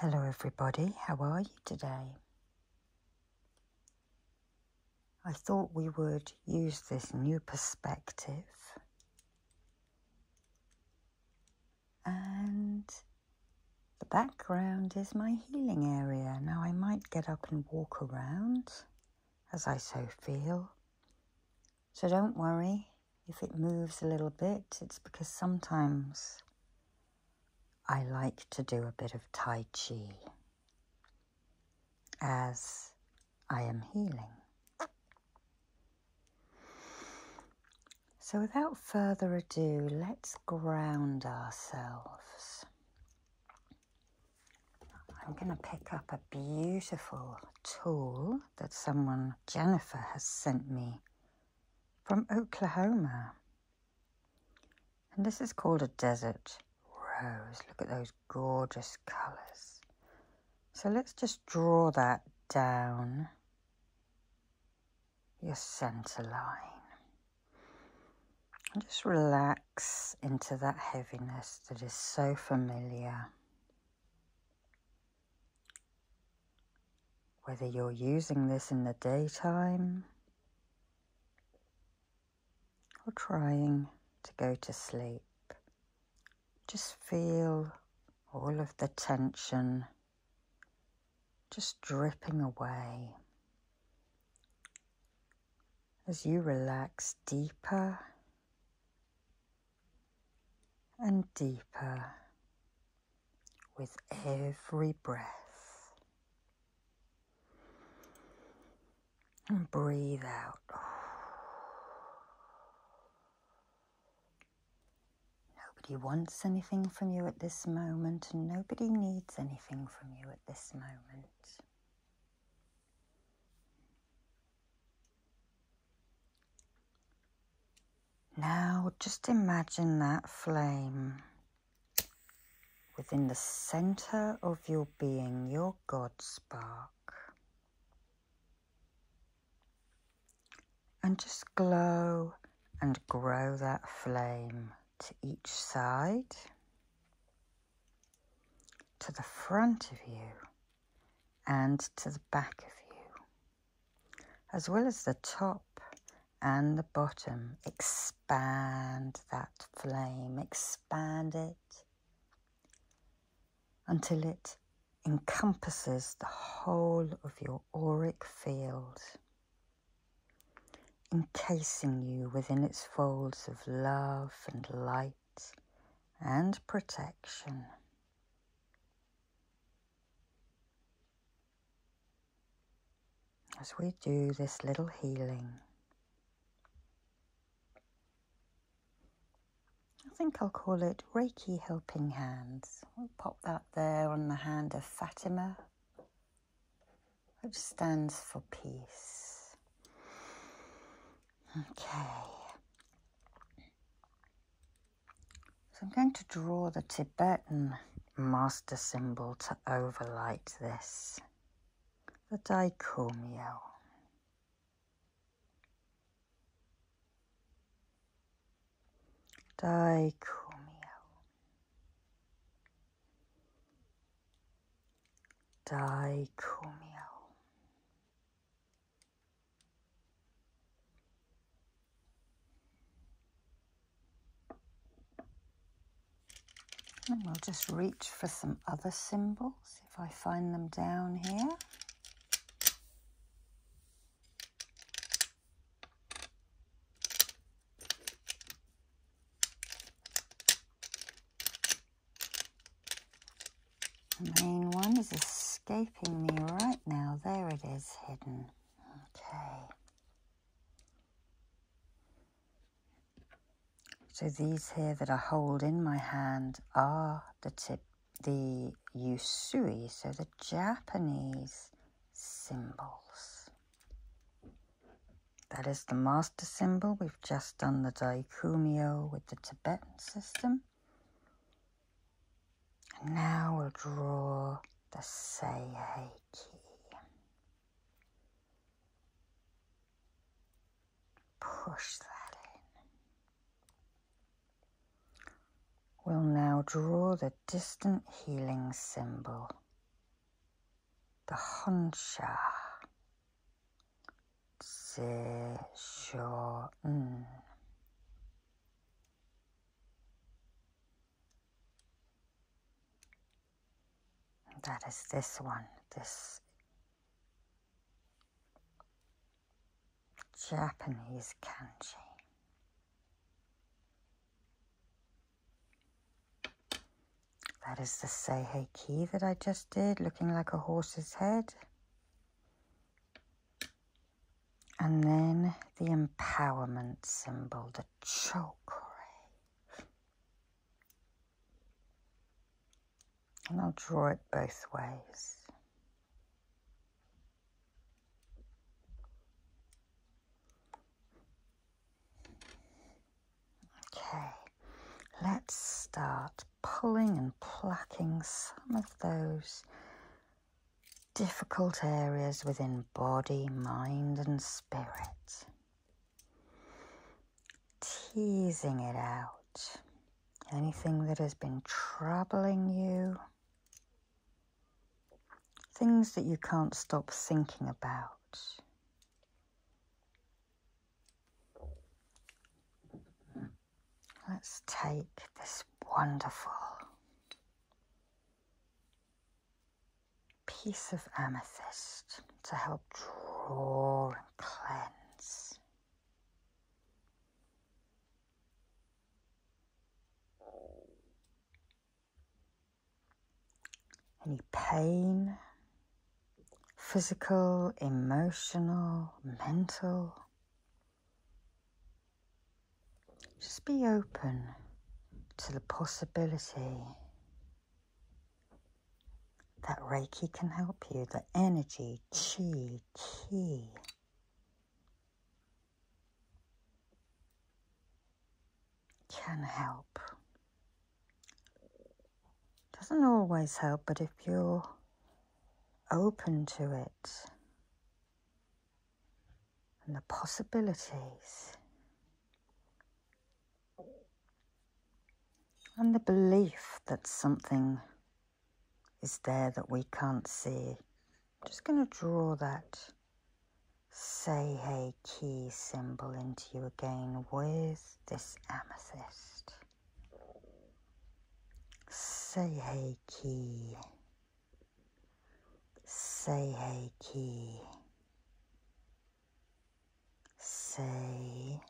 Hello, everybody. How are you today? I thought we would use this new perspective and the background is my healing area. Now, I might get up and walk around as I so feel, so don't worry if it moves a little bit, it's because sometimes I like to do a bit of Tai Chi as I am healing. So, without further ado, let's ground ourselves. I'm going to pick up a beautiful tool that someone, Jennifer, has sent me from Oklahoma. And this is called a desert rose. Look at those gorgeous colours. So let's just draw that down your centre line. And just relax into that heaviness that is so familiar. Whether you're using this in the daytime or trying to go to sleep, just feel all of the tension just dripping away as you relax deeper and deeper with every breath. And breathe out. Nobody wants anything from you at this moment, and nobody needs anything from you at this moment. Now just imagine that flame within the center of your being, your God spark. And just glow and grow that flame to each side, to the front of you, and to the back of you as well as the top and the bottom. Expand that flame, expand it until it encompasses the whole of your auric field, encasing you within its folds of love and light and protection. As we do this little healing, I think I'll call it Reiki Helping Hands. We'll pop that there on the hand of Fatima, which stands for peace. Okay. So I'm going to draw the Tibetan master symbol to overlay this, the dicomio. Dicomio. Dicomio. And we'll just reach for some other symbols if I find them down here. The main one is escaping me right now. There it is, hidden. Okay. So these here that I hold in my hand are the tip, the yusui, so the Japanese symbols. That is the master symbol. We've just done the daikumio with the Tibetan system. And now we'll draw the say hey Push that in. We'll now draw the distant healing symbol, the Honsha. Zhe that is this one, this Japanese kanji. That is the Seihei key that I just did, looking like a horse's head. And then the empowerment symbol, the chakra. And I'll draw it both ways. Okay, let's start pulling and plucking some of those difficult areas within body, mind, and spirit. Teasing it out. Anything that has been troubling you. Things that you can't stop thinking about. Let's take this wonderful piece of amethyst to help draw and cleanse. Any pain, physical, emotional, mental, just be open to the possibility that Reiki can help you, that energy, chi, ki. Can help. Doesn't always help, but if you're open to it, and the possibilities and the belief that something is there that we can't see. I'm just going to draw that say hey key symbol into you again with this amethyst. Say hey key Say hey, key. Say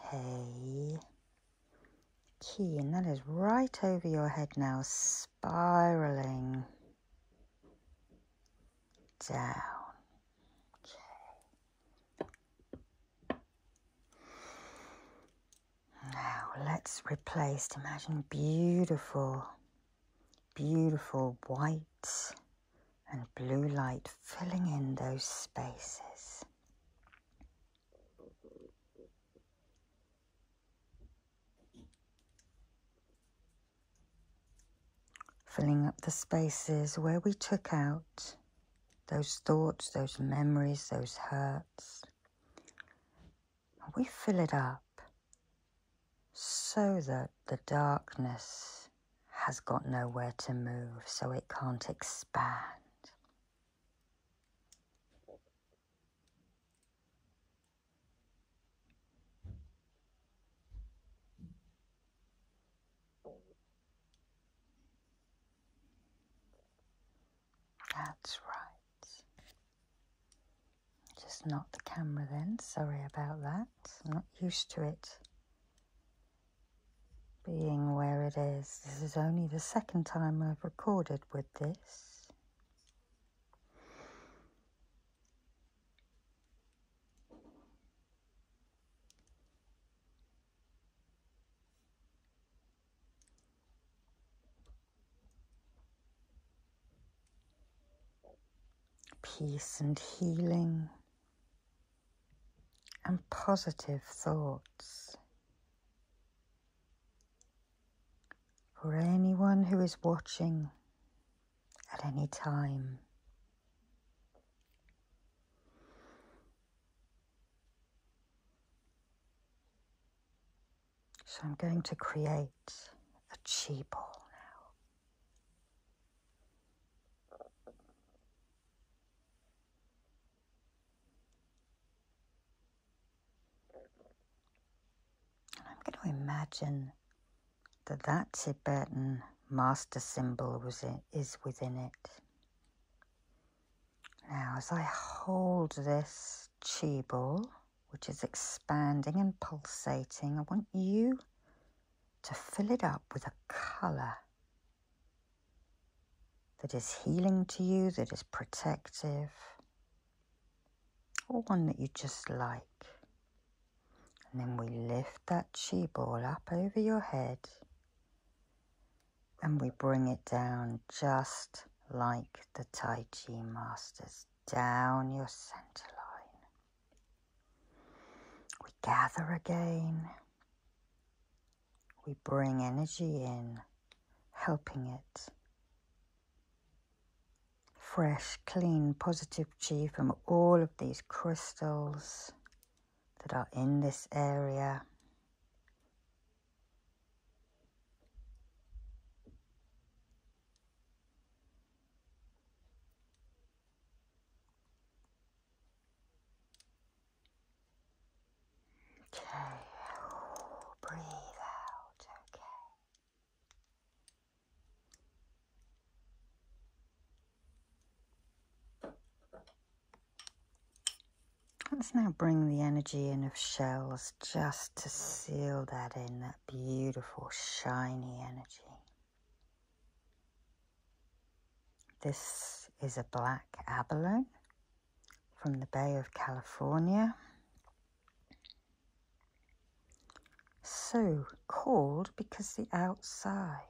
hey key and that is right over your head now spiraling down okay now let's replace imagine beautiful beautiful white and blue light filling in those spaces. Filling up the spaces where we took out those thoughts, those memories, those hurts, we fill it up so that the darkness has got nowhere to move, so it can't expand. That's right. Just not the camera then, sorry about that. I'm not used to it being where it is. This is only the second time I've recorded with this peace and healing, and positive thoughts. For anyone who is watching at any time. So I'm going to create a chi ball now. And I'm going to imagine that that Tibetan master symbol was in, is within it. Now, as I hold this chi ball, which is expanding and pulsating. I want you to fill it up with a colour that is healing to you, that is protective, or one that you just like. And then we lift that chi ball up over your head and we bring it down just like the Tai Chi masters, down your center line. We gather again. We bring energy in, helping it. Fresh, clean, positive chi from all of these crystals that are in this area. Okay, breathe out, okay. Let's now bring the energy in of shells just to seal that in beautiful, shiny energy. This is a black abalone from the Bay of California. So called because the outside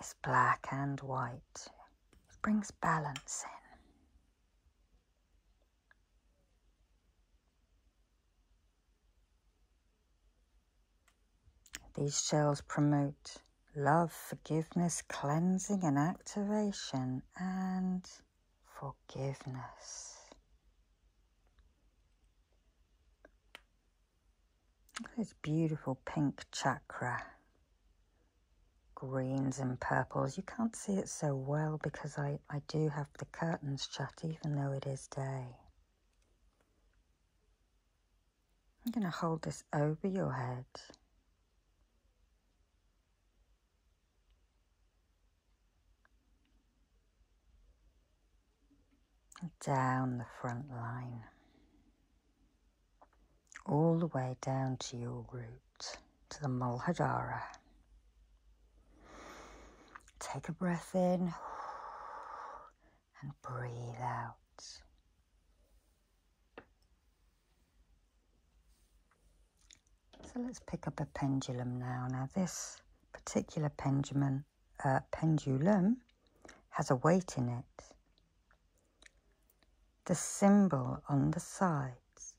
is black and white. It brings balance in. These shells promote love, forgiveness, cleansing, and activation, and forgiveness. Look at this beautiful pink chakra. Greens and purples. You can't see it so well because I, I do have curtains shut even though it is day. I'm going to hold this over your head. Down the front line, all the way down to your root to the Muladhara. Take a breath in and breathe out. So let's pick up a pendulum now. Now this particular pendulum, uh, pendulum has a weight in it. The symbol on the sides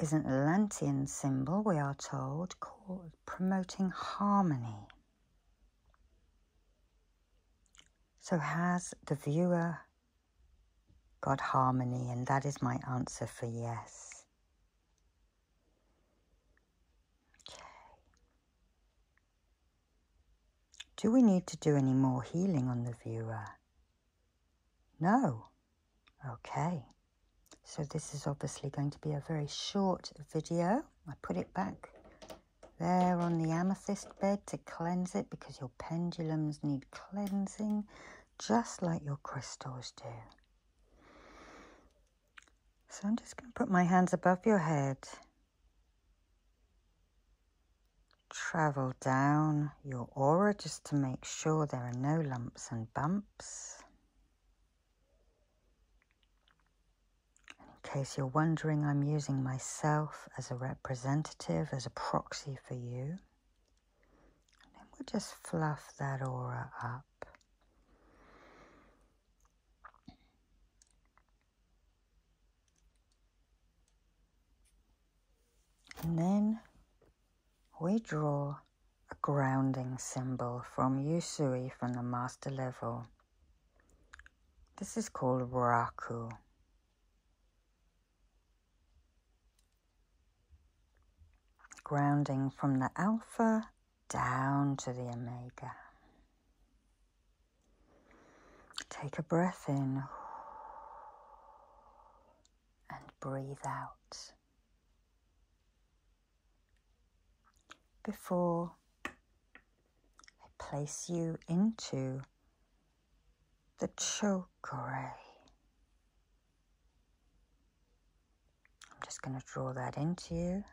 is an Atlantean symbol, we are told, promoting harmony. So, has the viewer got harmony? And that is my answer for yes. Okay. Do we need to do any more healing on the viewer? No. Okay. So this is obviously going to be a very short video. I put it back there on the amethyst bed to cleanse it because your pendulums need cleansing just like your crystals do. So I'm just going to put my hands above your head Travel down your aura just to make sure there are no lumps and bumps. in case you're wondering, I'm using myself as a representative, as a proxy for you. And then we'll just fluff that aura up. And then we draw a grounding symbol from Yusui from the master level. This is called Raku. Grounding from the Alpha down to the Omega. Take a breath in and breathe out. Before I place you into the choke array, I'm just going to draw that into you.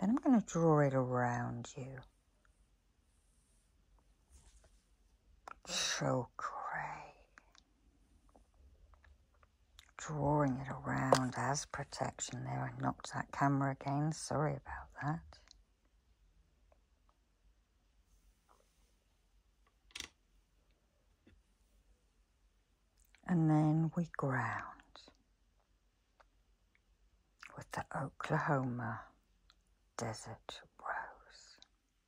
Then I'm going to draw it around you. Choke array. Drawing it around as protection there. I knocked that camera again. Sorry about that. And then we ground with the Oklahoma Desert Rose.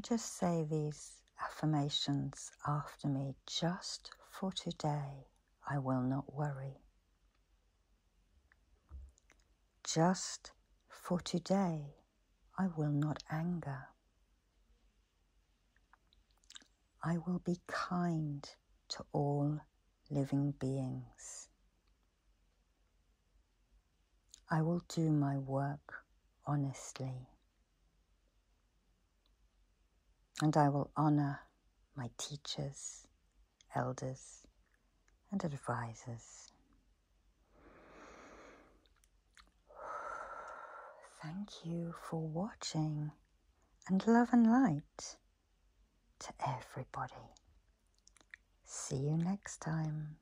just say these affirmations after me just for today. I will not worry. Just for today, I will not anger. I will be kind to all living beings. I will do my work honestly. And I will honor my teachers, elders, and advisors. Thank you for watching, and love and light to everybody. See you next time.